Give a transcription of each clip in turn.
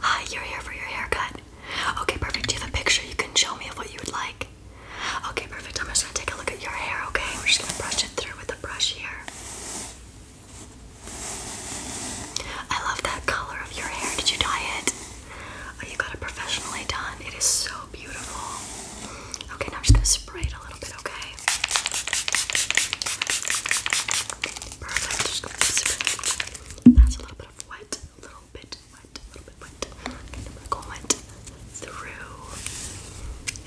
Hi, you're here for your haircut. Okay, perfect. Do you have a picture you can show me of what you would like? Okay, perfect. I'm just gonna take a look at your hair, okay? we're just gonna brush it through with a brush here. I love that color of your hair. Did you dye it? Oh, you got it professionally done. It is so beautiful. Okay, now I'm just gonna spray it a little bit, okay? Perfect. Just a little bit wet, a little bit wet, a little bit wet, kind of like wet through.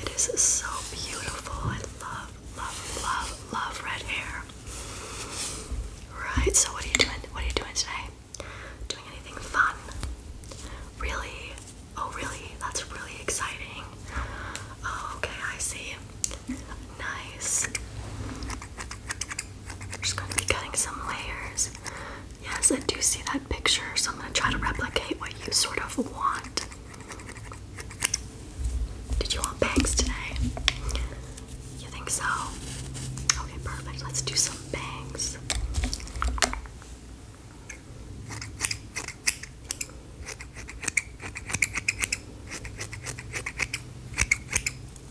It is so beautiful. I love, love, love, love red hair. Right, so what are you doing? What are you doing today? Doing anything fun? Really? Oh, really? That's really exciting. Oh, okay, I see. Nice. just going to be cutting some layers. Yes, I do see that picture, so I'm going to try to replicate what you sort of want. Did you want bangs today? You think so? Okay, perfect. Let's do some bangs.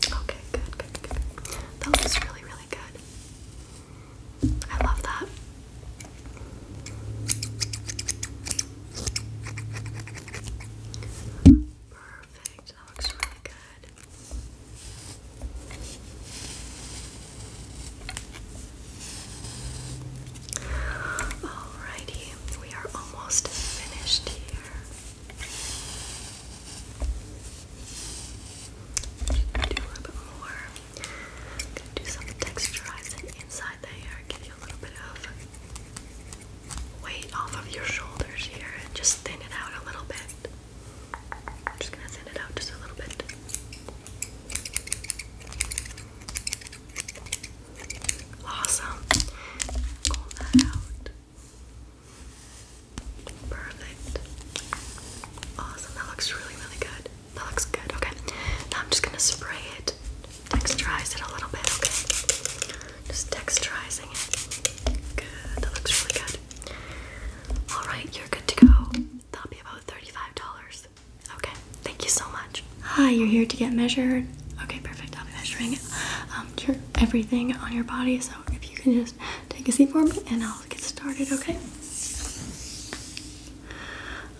Okay, good, good, good. That looks really, really good. I love that. Perfect. That looks really good. Alrighty, we are almost finished here. Do a little bit more. do some texturizing inside the hair, give you a little bit of weight off of your shoulders here, and just thin it out a little bit. just gonna thin it out just a little bit. Awesome. Comb that out. Perfect. Awesome. That looks really, really good. That looks good. Okay. Now I'm just gonna spray it, texturize it a little bit. Okay. Just texturizing it. Good. That looks really good. All right, you're good to go. That'll be about thirty-five dollars. Okay. Thank you so much. Hi, you're here to get measured. Okay, perfect. I'll be measuring it. Um, your everything on your body. So if you can just take a seat for me and I'll get started, okay?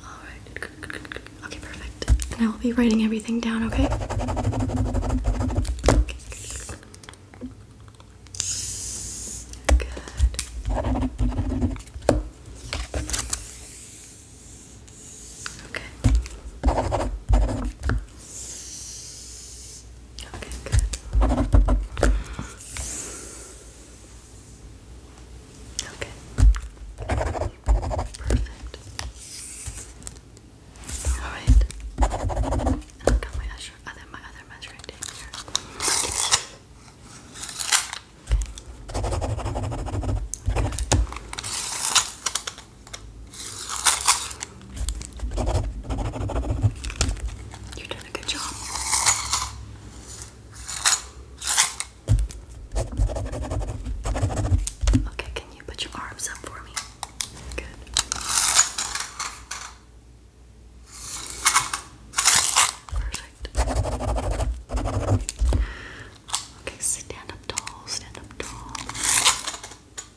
Alright. Okay, perfect. And I will be writing everything down, okay? Okay. Okay, good. Okay. Perfect. Alright. I've got my other, my other measuring tape here. Okay. Good. You're doing a good job. Okay, can you put your arms up for me? Good. Perfect. Okay, stand up tall, stand up tall.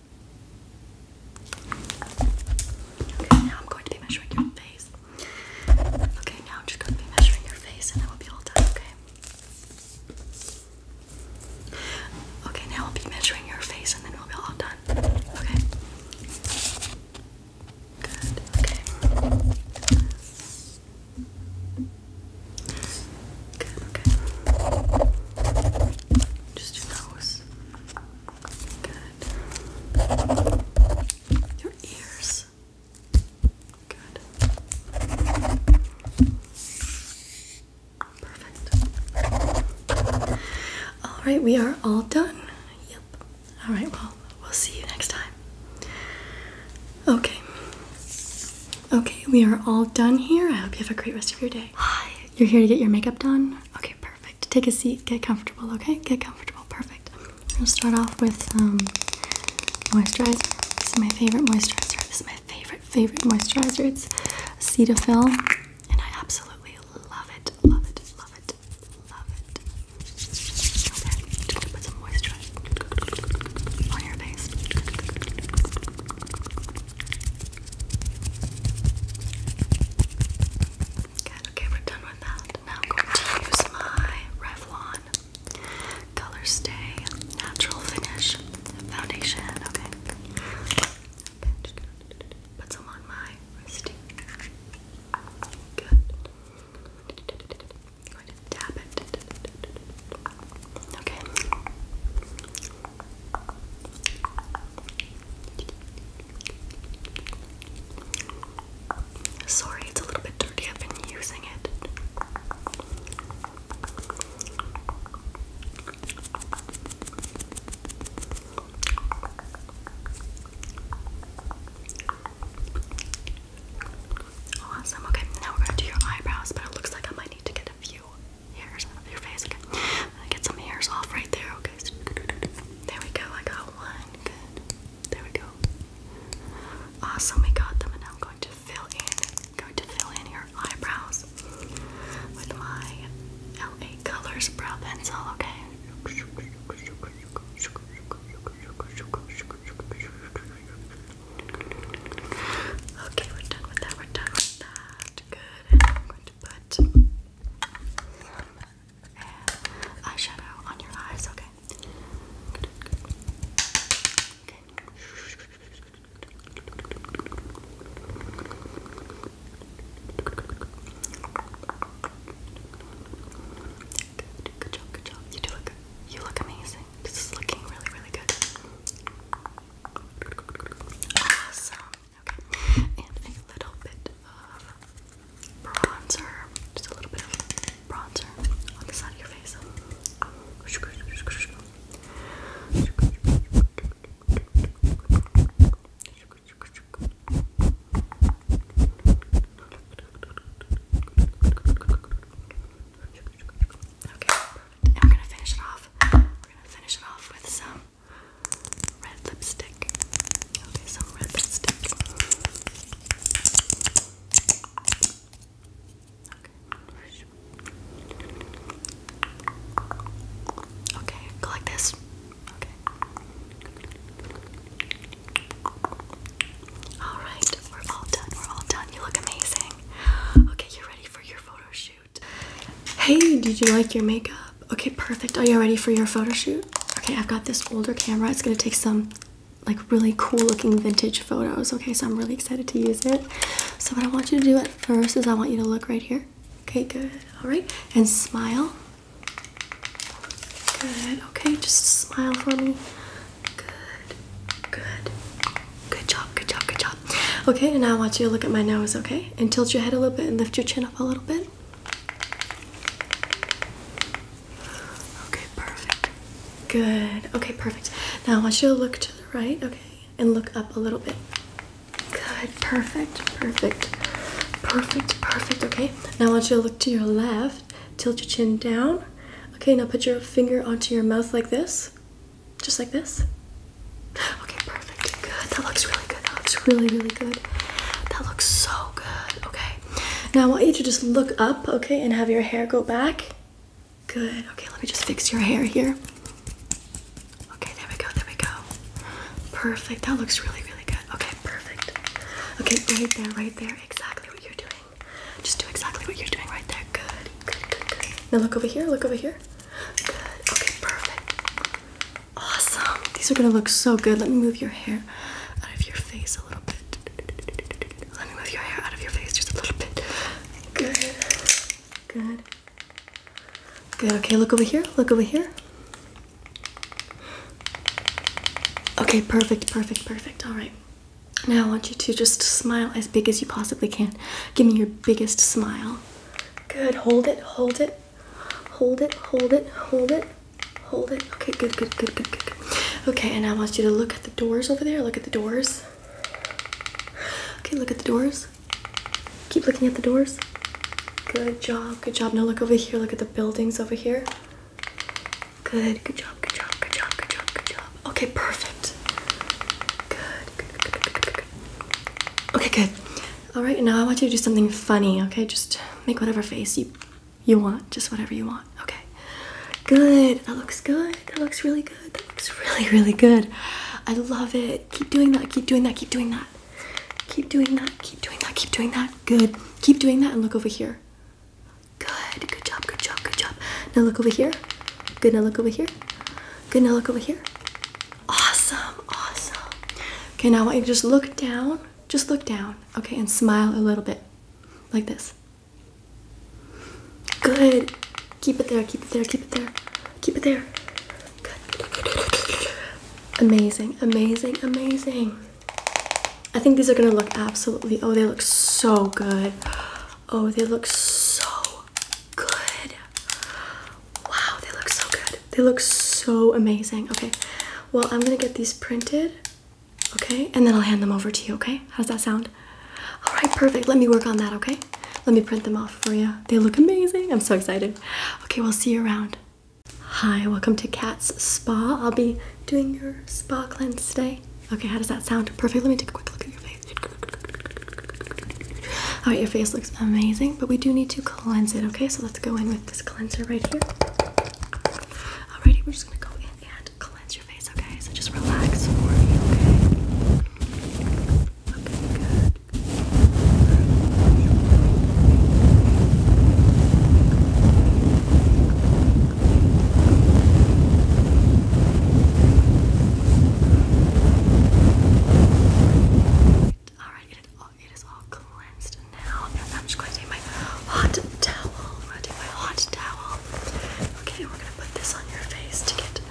Okay, now I'm going to be measuring your face. Okay, now I'm just going to be measuring your face and I will be all done, okay? Okay, now I'll be measuring your face and then we'll be all done. Okay? Good, okay. Good, okay. Just your nose. Good. Your ears. Good. Perfect. All right, we are all done. Yep. All right, well, we'll see you next time. Okay. Okay, we are all done here. I hope you have a great rest of your day. Hi. You're here to get your makeup done? Okay, perfect. Take a seat, get comfortable, okay? Get comfortable, perfect. We'll start off with um, moisturizer. This is my favorite moisturizer. This is my favorite, favorite moisturizer. It's Cetaphil, and I absolutely love it, love it, love it, love it. Okay, i just gonna put some moisturizer on your face. Good, okay, we're done with that. Now I'm going to use my Revlon Color Natural Finish Foundation. Okay. put some on my wrist. Good. going to tap it. Okay. Sorry, it's a little bit dirty. I've been using it. Awesome. Okay, now we're gonna do your eyebrows, but it looks like I might need to get a few hairs out your face. Okay, get some hairs off right there. Okay, there we go. I got one. Good. There we go. Awesome, we got them, and now I'm going to fill in. Going to fill in your eyebrows with my LA Colors brow pencil. Okay. Okay, we're done with that. We're done that. Good good. I'm going to put eyeshadow on your eyes, okay? Okay. Good, job, good job. You do look, you look amazing. This is looking really, really good. Awesome. Okay. And a little bit of bronzer. Just a little bit of bronzer on the side of your face. Okay, we're gonna finish it off. We're gonna finish it off with some red lipstick. Okay, some red lipstick. Okay. Okay, go like this. Okay. Alright, we're all done. We're all done. You look amazing. Okay, you ready for your photo shoot? Hey, did you like your makeup? Okay, perfect. Are you ready for your photo shoot? Okay, I've got this older camera. It's gonna take some like really cool looking vintage photos. Okay, so I'm really excited to use it. So what I want you to do at first is I want you to look right here. Okay, good. All right, and smile. Good. Okay, just smile for me. Good. Good. Good job, good job, good job. Okay, and now I want you to look at my nose, okay? And tilt your head a little bit and lift your chin up a little bit. Okay, perfect. Good. Okay, perfect. Now I want you to look to the right, okay? And look up a little bit. Good, perfect, perfect, perfect, perfect, okay? Now I want you to look to your left, tilt your chin down. Okay, now put your finger onto your mouth like this. Just like this? Okay, perfect. Good. That looks really good. That looks really, really good. That looks so good. Okay. Now I want you to just look up, okay, and have your hair go back. Good. Okay, let me just fix your hair here. Okay, there we go. There we go. Perfect. That looks really, really good. Okay, perfect. Okay, right there, right there. Exactly what you're doing. Just do exactly what you're doing right there. Good. Good, good, good. Now look over here. Look over here. Good. Okay, perfect. Awesome. These are gonna look so good. Let me move your hair out of your face a little bit. Let me move your hair out of your face just a little bit. Good. Good. Good. Okay, look over here. Look over here. Okay, perfect, perfect, perfect. All right. Now I want you to just smile as big as you possibly can. Give me your biggest smile. Good. Hold it. Hold it. Hold it. Hold it. Hold it. Hold it. Okay, good, good, good, good, good, good. Okay, and I want you to look at the doors over there. Look at the doors. Okay, look at the doors. Keep looking at the doors. Good job, good job. Now look over here. Look at the buildings over here. Good, good job, good job, good job, good job, good job. Okay, perfect. good, good, good, good, Okay, good. All right, now I want you to do something funny, okay? Just make whatever face you you want, just whatever you want. Okay. Good. That looks good. That looks really good. That looks really, really good. I love it. Keep doing that. Keep doing that. Keep doing that. Keep doing that. Keep doing that. Keep doing that. Good. Keep doing that and look over here. Good. Good job. Good job. Good job. Now look over here. Good. Now look over here. Good. Now look over here. Awesome, awesome. Okay, now I want you to just look down. Just look down, okay, and smile a little bit. Like this. Good. Keep it there, keep it there, keep it there. Keep it there. Amazing, amazing, amazing. I think these are gonna look absolutely, oh, they look so good. Oh, they look so good. Wow, they look so good. They look so amazing. Okay, well, I'm gonna get these printed, okay, and then I'll hand them over to you, okay? How's that sound? All right, perfect. Let me work on that, okay? Let me print them off for you. They look amazing. I'm so excited. Okay, we'll see you around. Hi, welcome to Cat's Spa. I'll be doing your spa cleanse today. Okay, how does that sound? Perfect. Let me take a quick look at your face. Oh, your face looks amazing, but we do need to cleanse it, okay? So let's go in with this cleanser right here. Alrighty, we're just gonna go in and cleanse your face, okay? So just relax for me, Okay, Alright, it, it is all cleansed now. I'm just going to take my hot towel. I'm going to take my hot towel. Okay, we're going to put this on your face to get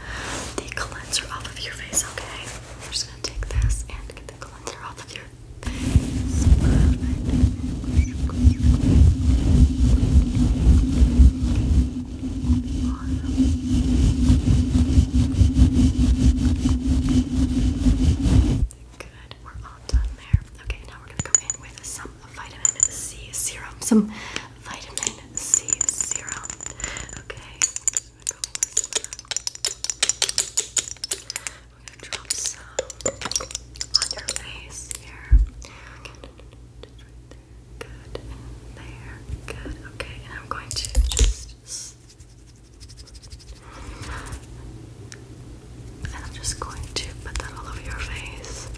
the cleanser off of your face, okay? we're just going to take this and get the cleanser off of your face. Good, we're all done there. Okay, now we're gonna go in with some vitamin C serum. Some vitamin C serum. Okay, We're gonna drop some on your face here. Good. There. Good. Okay. And I'm going to just. And I'm just going to put that all over your face.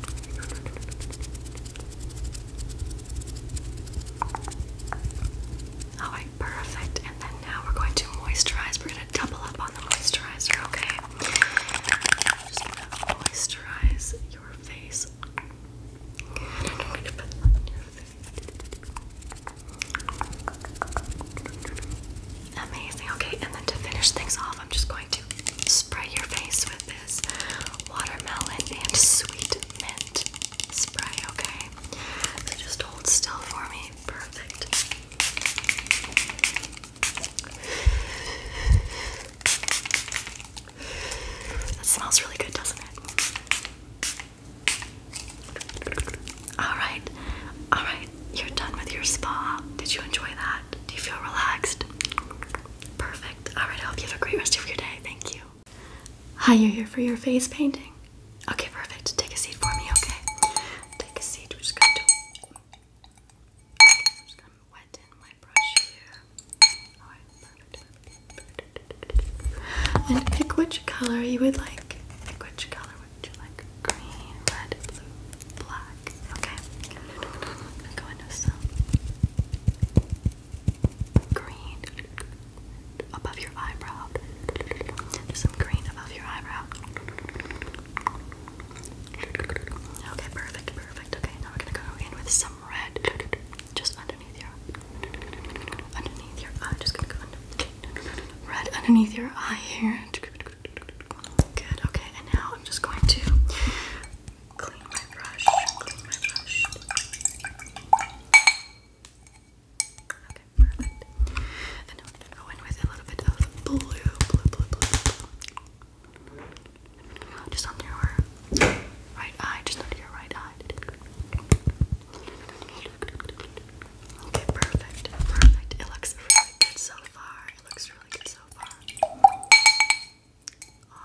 Alright, perfect. And then now we're going to moisturize. We're going to double up on the moisturizer, okay? just to moisturize your face. Amazing. Okay, and then to finish things off, I'm just going to spray your face with this watermelon and sweet mint spray, okay? So just hold still for me. Perfect. That smells really good, doesn't it? Alright, alright, you're done with your spa. Did you enjoy that? Do you feel relaxed? Perfect. Alright, I hope you have a great rest of your day. Thank you. Hi, you're here for your face painting. Okay, perfect. Take a seat for me, okay? Take a seat. We're just gonna wet in my brush here. And pick which color you would like. which color would you like? Green, red, blue, black. Okay. I'm going some green above your eyebrow. Some green above your eyebrow. Okay, perfect, perfect. Okay, now we're gonna go in with some red. Just on underneath your eye. Just gonna go Right underneath your eye here. Good. Okay. And now I'm just going to clean my brush. Okay, perfect. And I'm gonna go in with a little bit of blue, Just under your right eye, just under your right Okay, perfect, perfect. It looks really good so far. It looks really good so far.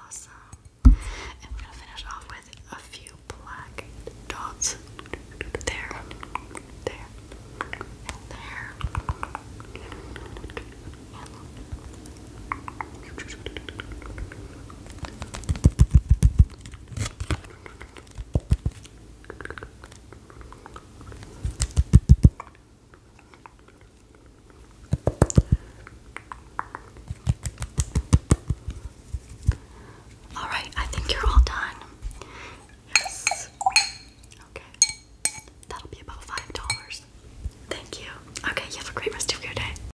Awesome. And we're gonna finish off with a few black dots. There, there, there, all right, I think you're all done. Yes. Okay. That'll be about $5. Thank you. Okay, you have a great rest of your day.